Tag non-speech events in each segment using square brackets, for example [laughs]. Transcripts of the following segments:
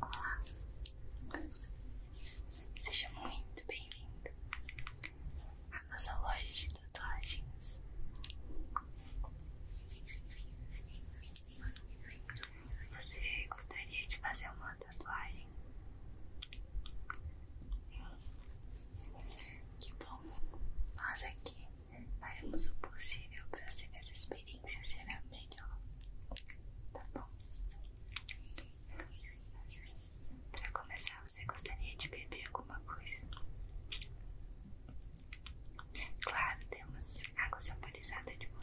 Olá, seja muito bem-vindo à nossa loja de tatuagens. Você gostaria de fazer uma tatuagem? Que bom! Nós aqui faremos o possível para ser essa experiência ser a melhor. Tá bom? Para começar, você gostaria de beber alguma coisa? Claro, temos água saborizada de molho.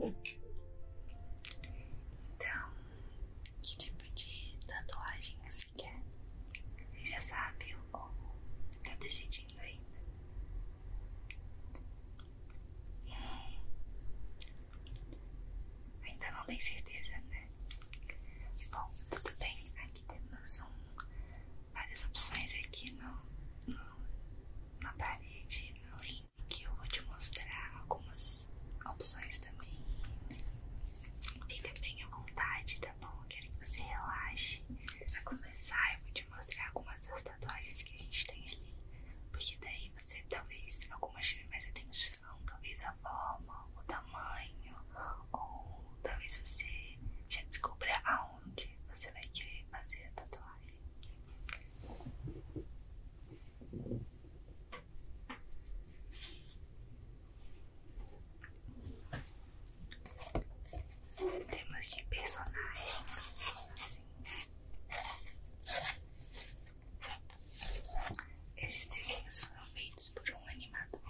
Então, que tipo de tatuagem você quer? Já sabe ou está decidindo ainda? Ainda não tem certeza, né? Bom, tudo bem. Aqui temos um, várias opções aqui no, na parede, no link. Eu vou te mostrar algumas opções também. Fica bem à vontade, tá bom? quero que você relaxe. Pra começar, eu vou te mostrar algumas das tatuagens que a gente tem ali, porque daí você talvez algumas chame mais atenção, talvez a forma, o tamanho, ou talvez você já descubra aonde você vai querer fazer a tatuagem temos de personagens. Esses desenhos foram feitos por um animador.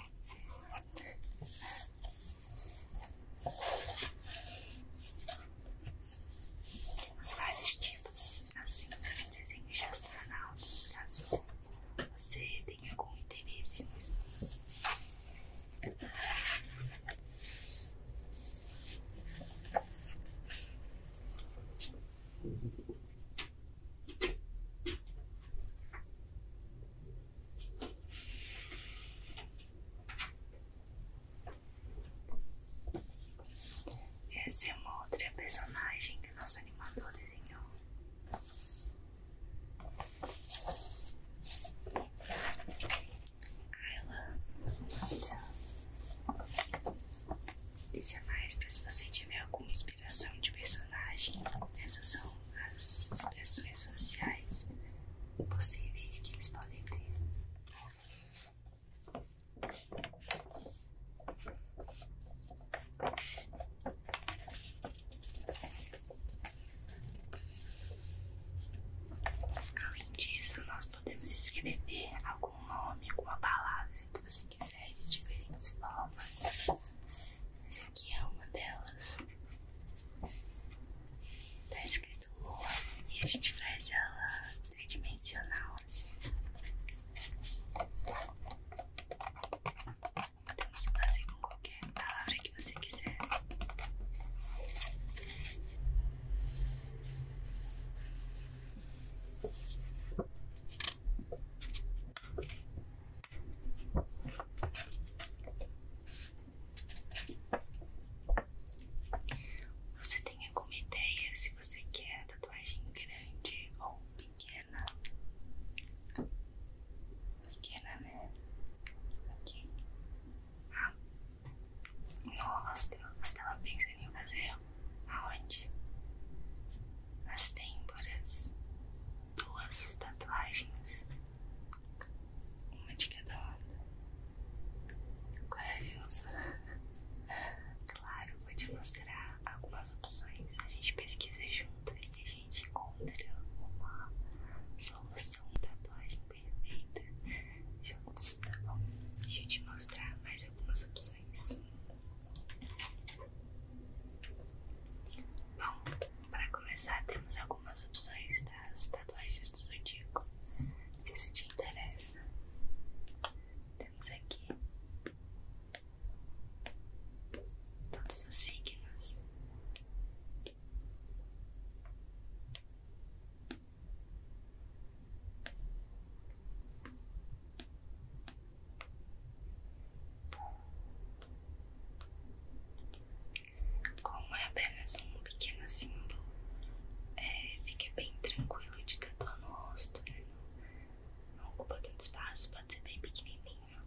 Temos vários tipos, assim como desenhos de astronautas, caso você tenha algum interesse no essa é uma outra personagem que o nosso animador desenhou. Ayla, então, isso é mais para se você tiver alguma inspiração de personagem. Essas são as expressões sociais possíveis que eles podem ter. Além disso, nós podemos escrever algum nome, alguma palavra que você quiser de diferentes formas. Essa aqui é uma delas. Tá escrito lua e a gente faz ela tridimensional. Assim. Podemos fazer com qualquer palavra você quiser. Você tem alguma ideia se você quer tatuagem grande ou pequena? Pequena, né? Ok. Ah, nossa, você tava pensando em fazer aonde? as têmporas, duas tatuagens, uma de cada lado. Corajoso. Claro, vou te mostrar algumas opções. A gente pesquisa junto e a gente encontra uma solução tatuagem perfeita juntos, tá bom? Deixa eu te mostrar mais algumas opções. Bom, para começar temos algumas opções das tatuagens do Zodíaco. Se isso te interessa, temos aqui todos os signos como é apenas um pequeno símbolo, é, fica bem tranquilo de tatuar no rosto, né? Não, ocupa tanto espaço, pode ser bem pequenininho.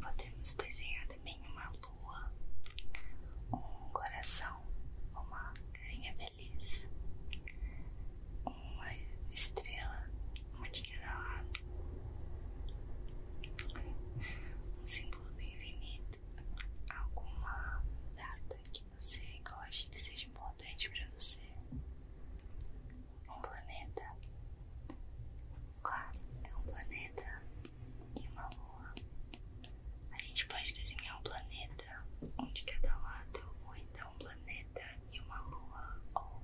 Podemos desenhar também uma lua, um coração, uma carinha feliz, uma estrela, uma de cada lado, um símbolo do infinito, alguma data que você goste que seja importante para você, um planeta. Claro, é um planeta e uma lua. A gente pode desenhar um planeta onde cada lado, ou então um planeta e uma lua, ou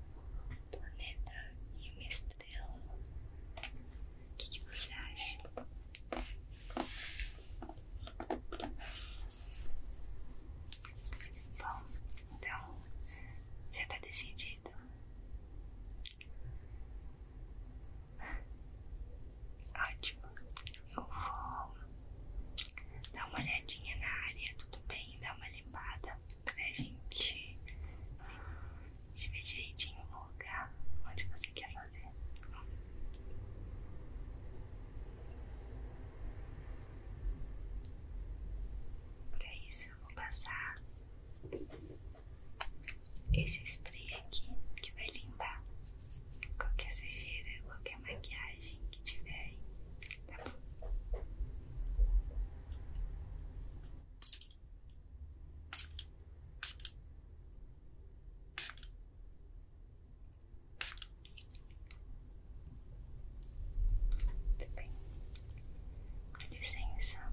um planeta e uma estrela. O que, você acha? Bom, então já está decidido. Ótimo. Eu vou dar uma olhadinha na área, tudo bem? Dar uma limpada pra gente te ver direitinho no lugar onde você quer fazer. Para isso eu vou passar esse spray aqui que vai limpar qualquer sujeira, qualquer maquiagem que tiver aí, tá bom? Muito tá bem, com licença,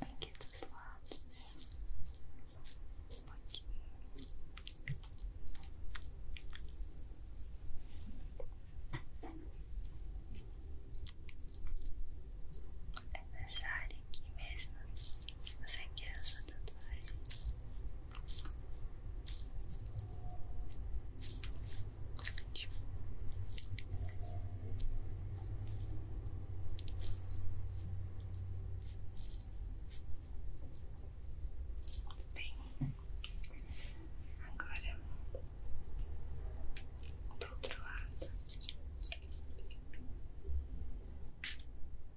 aqui dos lados, um pouquinho. É nessa área aqui mesmo. Você quer é essa tatuagem? Bem, agora do outro lado.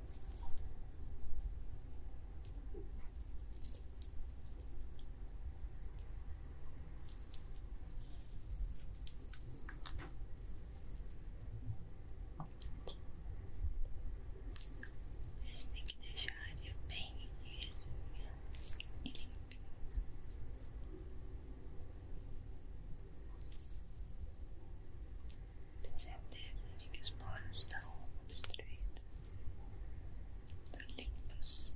A gente que deixar a bem e limpinha. Tem certeza de que os planos estão obstruídos. Estão limpos.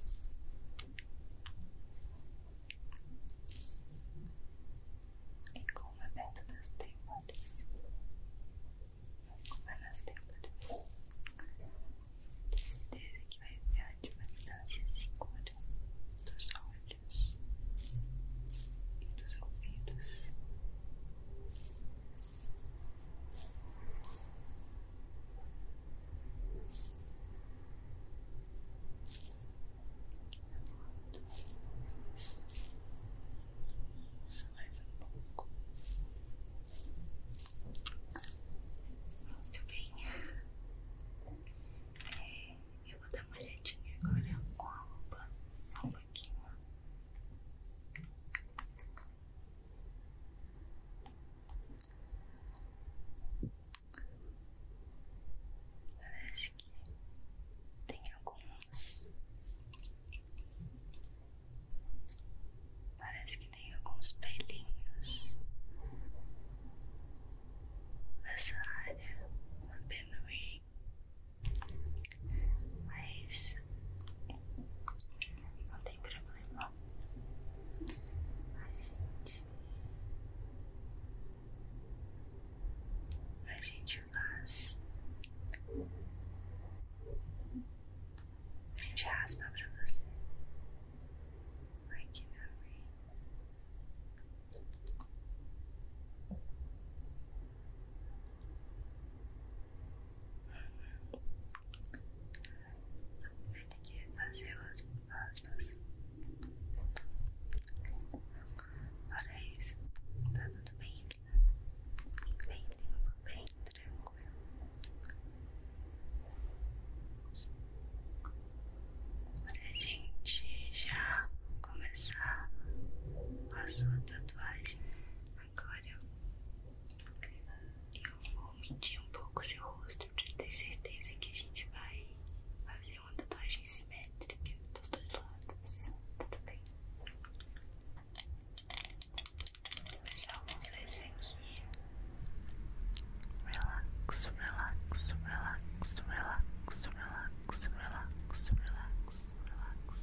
E com é perto das têmporas. Tá Como é nas têmporas. Tá certeza que vai enviar de uma distância segura dos olhos e dos ouvidos. Isso mais um pouco. Muito bem. É, eu vou dar uma olhadinha agora com a roupa. Só um pouquinho. Parece que tem alguns. Parece que tem alguns pelinhos nessa área na penuí mas não tem problema. A gente. A gente faz. A gente raspa é pra você. Aqui também vai ter que fazer as aspas. Para isso, tá tudo bem, bem, bem, tranquilo. Para a gente já começar a sua tatuagem Agora eu vou medir um pouco seu rosto para ter certeza que a gente vai fazer uma tatuagem simétrica dos dois lados. tá Tudo bem? Começar a usar esse aqui. Relax, relax, relax, relax, relax, relax, relax, relax, relax.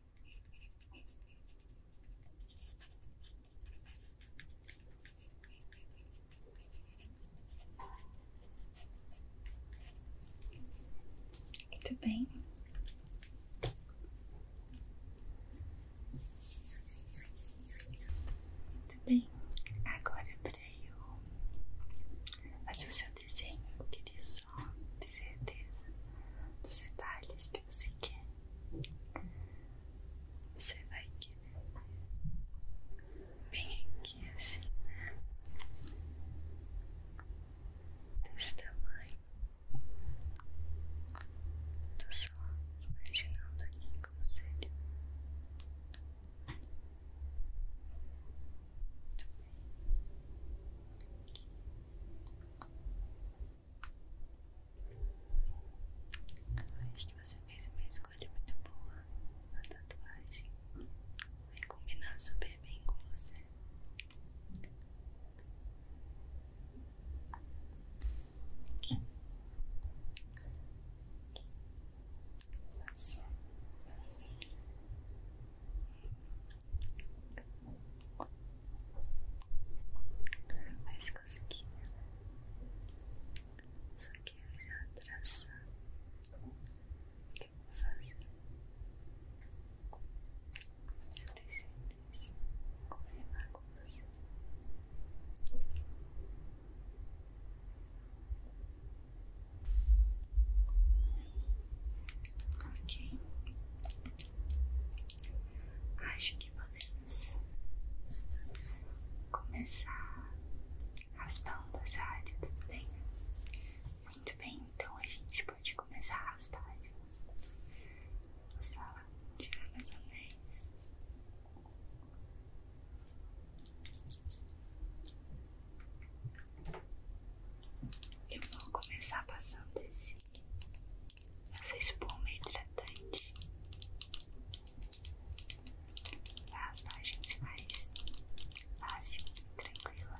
Muito bem. Muito bem. Agora para eu fazer o seu desenho, queria só ter certeza dos detalhes que você quer. Você vai querer bem aqui assim, né? Desse tamanho. Tô só imaginando aqui como seria acho que você fez uma escolha muito boa na tatuagem. Vai combinar super bem com você. Aqui. Tá assim. Mas consegui. Só que eu já traçar o que eu vou fazer. Já tenho certeza. Confirmar com você. Ok, acho que podemos começar raspando essa área, tudo bem? Muito bem, então a gente pode começar a raspar. Vou só tirar mais ou menos. Eu vou começar passando esse essa espuma é hidratante as margens mais fácil e tranquila.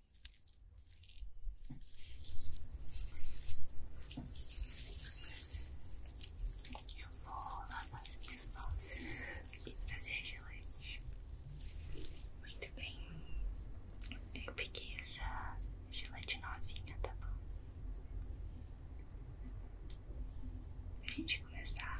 Eu vou lavar as minhas mãos e trazer gelante. Muito bem. Eu peguei essa gelante novinha, tá bom? Pra gente começar.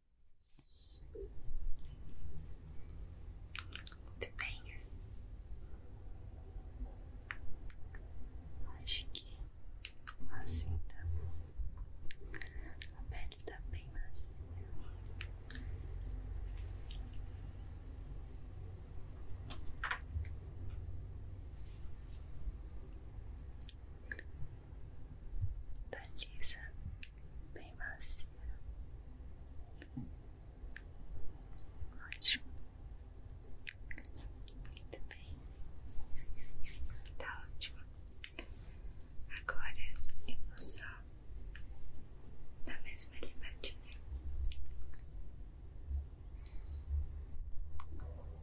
Muito bem. Acho que assim tá bom. A pele tá bem macia. Tá lisa, bem macia. Ótimo. Muito bem. Tá ótimo. Agora eu vou só na mesma limadinha.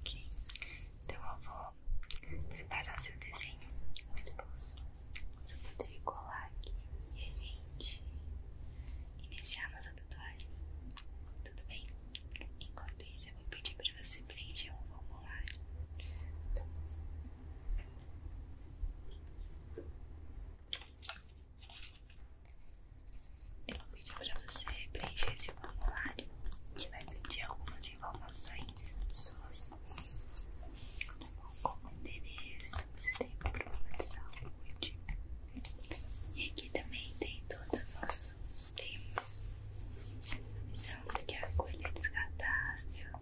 Ok, então eu vou preparar seu desenho no esboço para poder colar aqui e a gente iniciar nossa Tá? Tudo bem? Enquanto isso, eu vou pedir para você preencher um formulário. eu vou pedir para você preencher esse formulário que vai pedir algumas informações suas. Tá Como endereço, se tem problema de saúde. E aqui também tem todas as temos os temas visando que a agulha é desgatável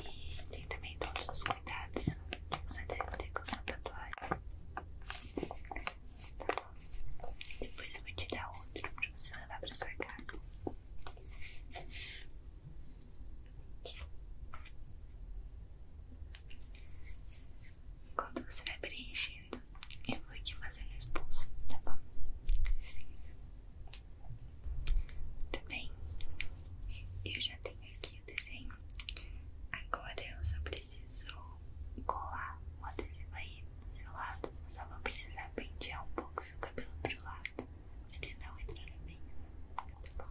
e tem também todos os cuidados que você deve ter com seu tatuagem. Tá bom? Depois eu vou te dar outro pra você levar pra sua casa. Quando você vai preenchendo, eu vou aqui fazendo os pulsos, tá bom? Sim. Muito bem. Eu já tenho aqui o desenho. Agora eu só preciso colar um desenho aí do seu lado. só vou precisar pentear um pouco o seu cabelo pro lado. Ele não entra no meio, tá bom?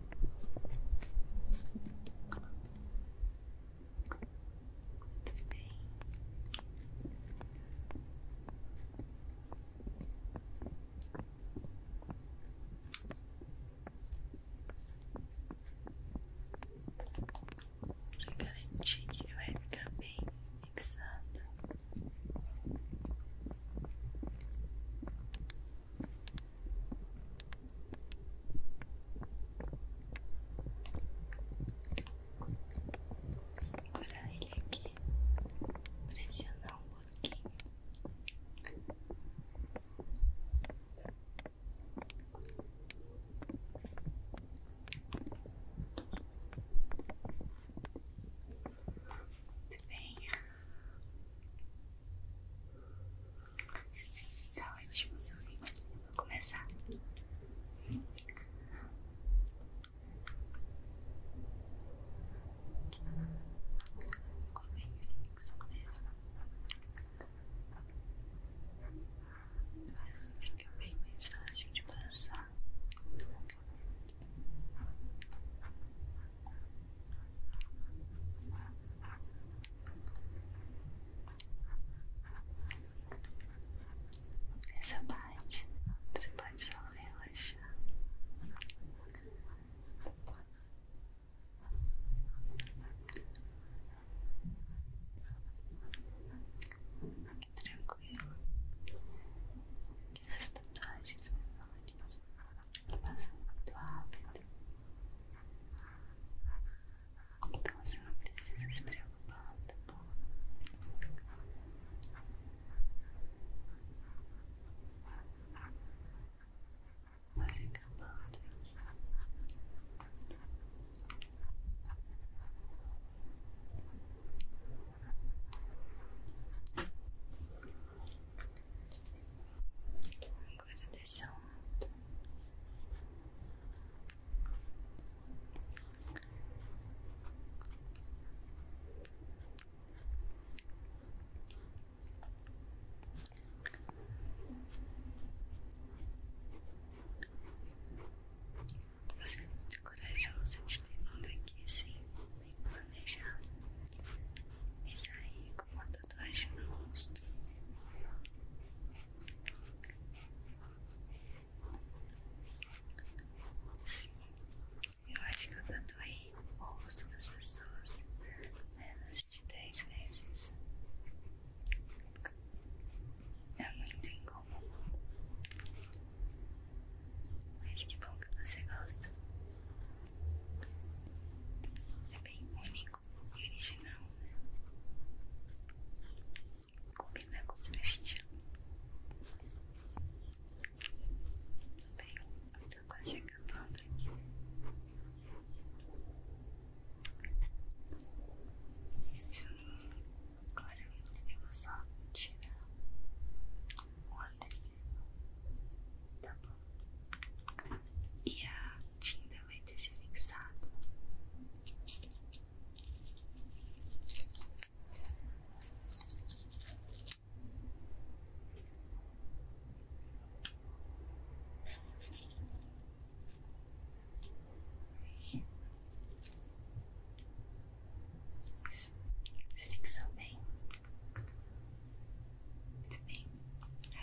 Muito bem. Pra que vai ficar bem fixado. Vou segurar ele aqui, pressionar um pouquinho. Muito bem. Tá ótimo. Então, vou começar. Ficou bem fixo mesmo. Assim fica bem mais fácil de passar. Tá essa parte você pode só relaxar. Tranquilo, que as tatuagens menores e passa muito rápido. Então você não precisa se preocupar, tá bom? Vai acabando aqui agora desse Você é muito corajoso de ter vindo aqui sem nem planejar e sair com uma tatuagem no rosto. Sim, eu acho que eu tatuei o rosto das pessoas menos de 10 vezes. É muito incomum. Mas que bom que você gosta. É bem único original, né? Combina com o meu estilo. Bem, eu tô quase acabando aqui. Isso. Agora eu vou só tirar o adesivo. Tá bom? e a tinta vai ter se fixado. Se fixou bem, muito bem.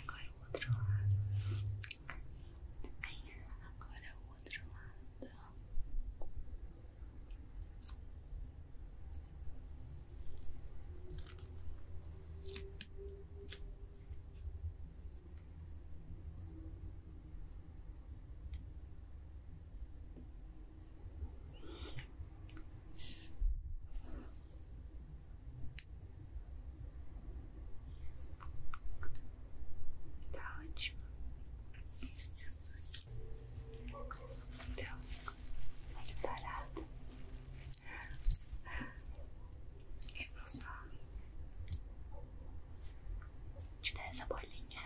Agora outro lado. Bem, agora o outro lado. Tá ótimo. Então, pode tá parar. Eu vou só te dar essa bolinha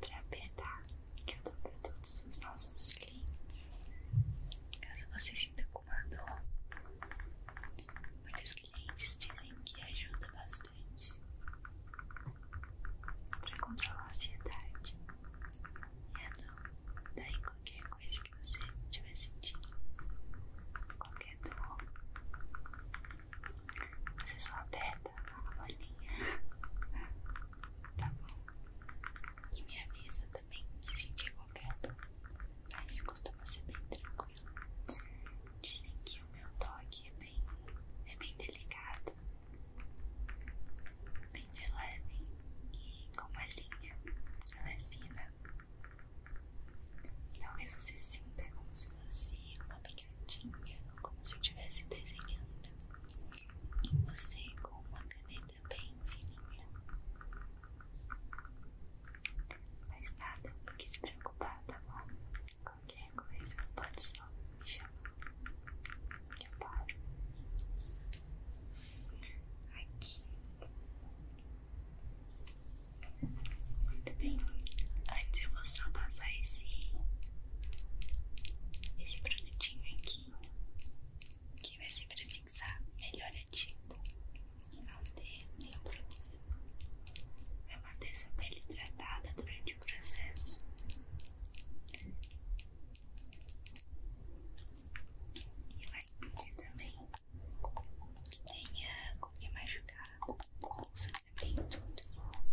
[laughs] pra apertar que eu dou para todos os nossos clientes. Caso você sinta mandou. Muitos clientes dizem que ajuda bastante para controlar a ansiedade e a dor. Daí qualquer coisa que você estiver sentindo, qualquer dor, você só aperta a bolinha, [laughs] tá bom? E me avisa também se sentir qualquer mas costuma ser bem tranquilo. Dizem que o meu toque é bem, é bem delicado, bem de leve e com uma linha, ela é fina. Talvez você sinta como se fosse uma pingadinha, como se eu estivesse desenhando em você com uma caneta bem fininha. Mas nada, não quis se preocupar, tá bom? Qualquer coisa, pode só me chamar. Que eu paro. Aqui. Muito bem. Antes eu vou só passar esse. Esse produtinho aqui que vai se fixar melhor ativo e não ter nenhum problema. Vai manter sua pele hidratada durante o processo. E vai fazer também que tenha com que machucar o sangramento do rosto.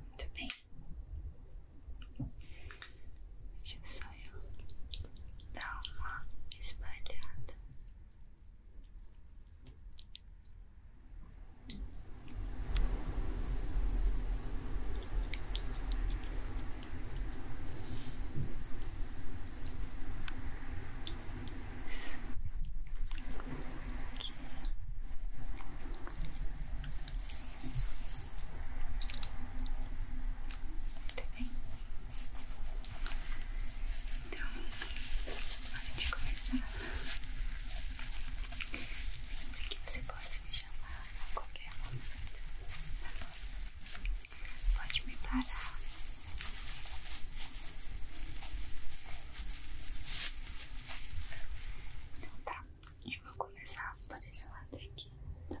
Muito bem. Deixa só eu dar uma espalhada mais Muito bem. Então, antes de começar. Lembra que você pode me chamar a qualquer momento, tá bom? Pode me parar então tá, eu vou começar por esse lado aqui, tá bom?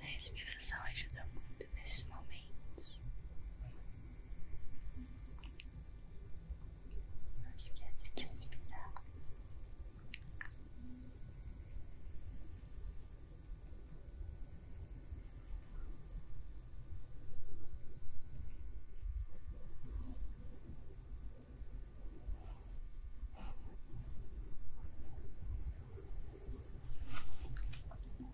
A respiração ajuda muito nesses momentos. Não esquece respirar.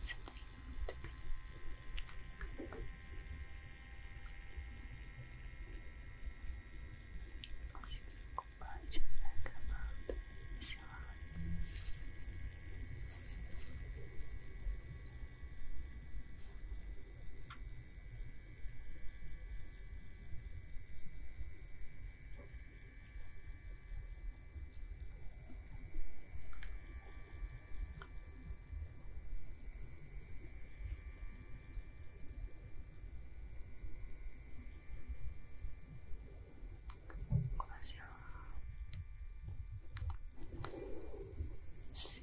Você tá indo muito bem. Não se preocupe, a gente vai acabando esse lado. Você こんしよし。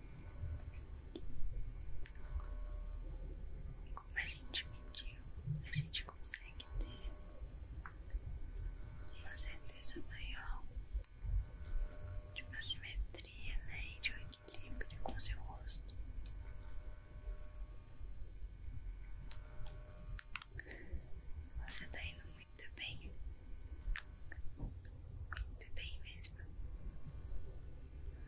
Como a gente mediu, a gente consegue ter uma certeza maior de uma simetria né, e de um equilíbrio com seu rosto. Você está indo muito bem, muito bem mesmo.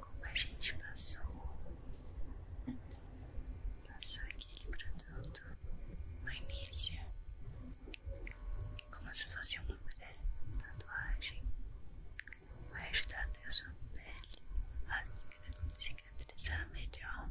como a gente passou, passou aquele produto no início, como se fosse uma pré-tatuagem, vai ajudar até a sua pele a cicatrizar melhor.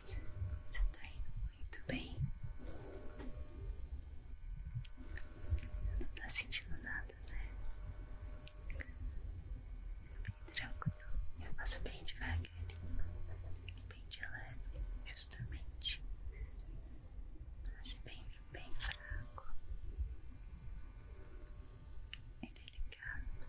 Você tá indo muito bem. Você não tá sentindo nada, né? Fica bem tranquilo. Eu faço bem devagarinho, bem de leve, justamente. Pra ser bem, bem fraco. e delicado.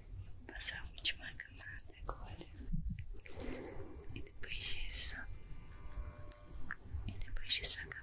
Passar a última camada agora. E depois disso. E depois disso acabou.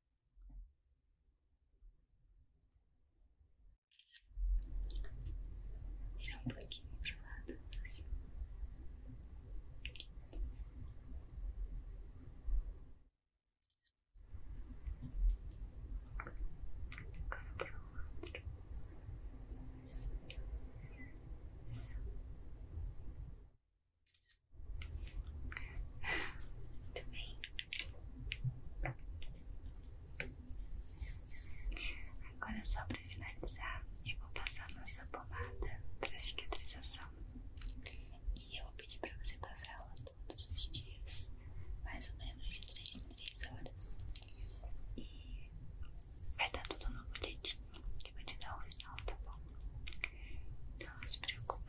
Virar um pouquinho para lá para o outro. Muito bem. Agora é só para finalizar, eu vou passar nossa pomada para cicatrização. E eu vou pedir para você passar ela todos os dias, mais ou menos de 3 em 3 horas. E vai dar tudo no boletim que eu vou te dar o final, tá bom? Então não se preocupe.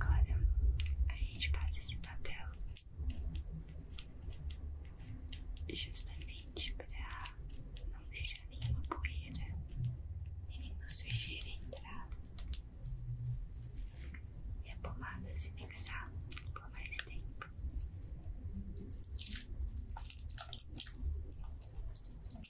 Agora a gente passa esse papel justamente para não deixar nenhuma poeira e nenhuma sujeira entrar. E a pomada se fixar por mais tempo.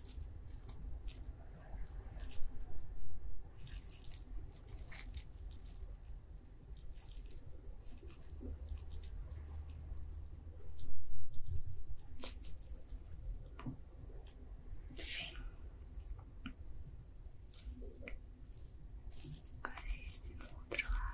Agora esse é do outro lado.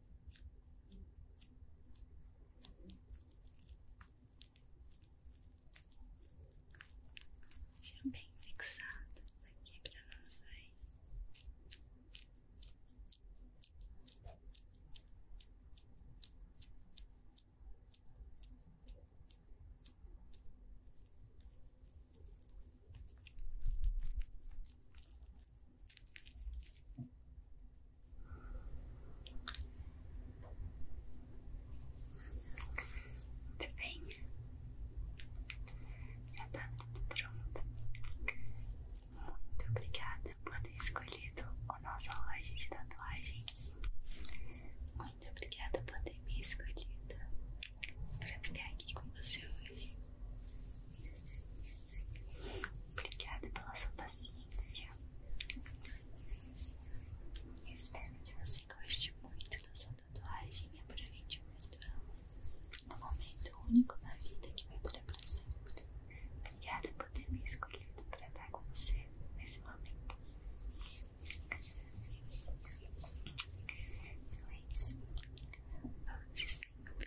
Fica bem fixado aqui para não sair. Muito muito bem, já tá tudo pronto. Muito obrigada por ter escolhido a nossa loja de tatuagens. Muito obrigada por ter me escolhido para ficar aqui com você hoje. Obrigada pela sua paciência. Eu espero que você goste muito da sua tatuagem e aproveite muito ela. Um momento único na vida que vai durar para sempre. Obrigada por ter me escolhido para estar com você nesse momento. Então é isso. Volte sempre.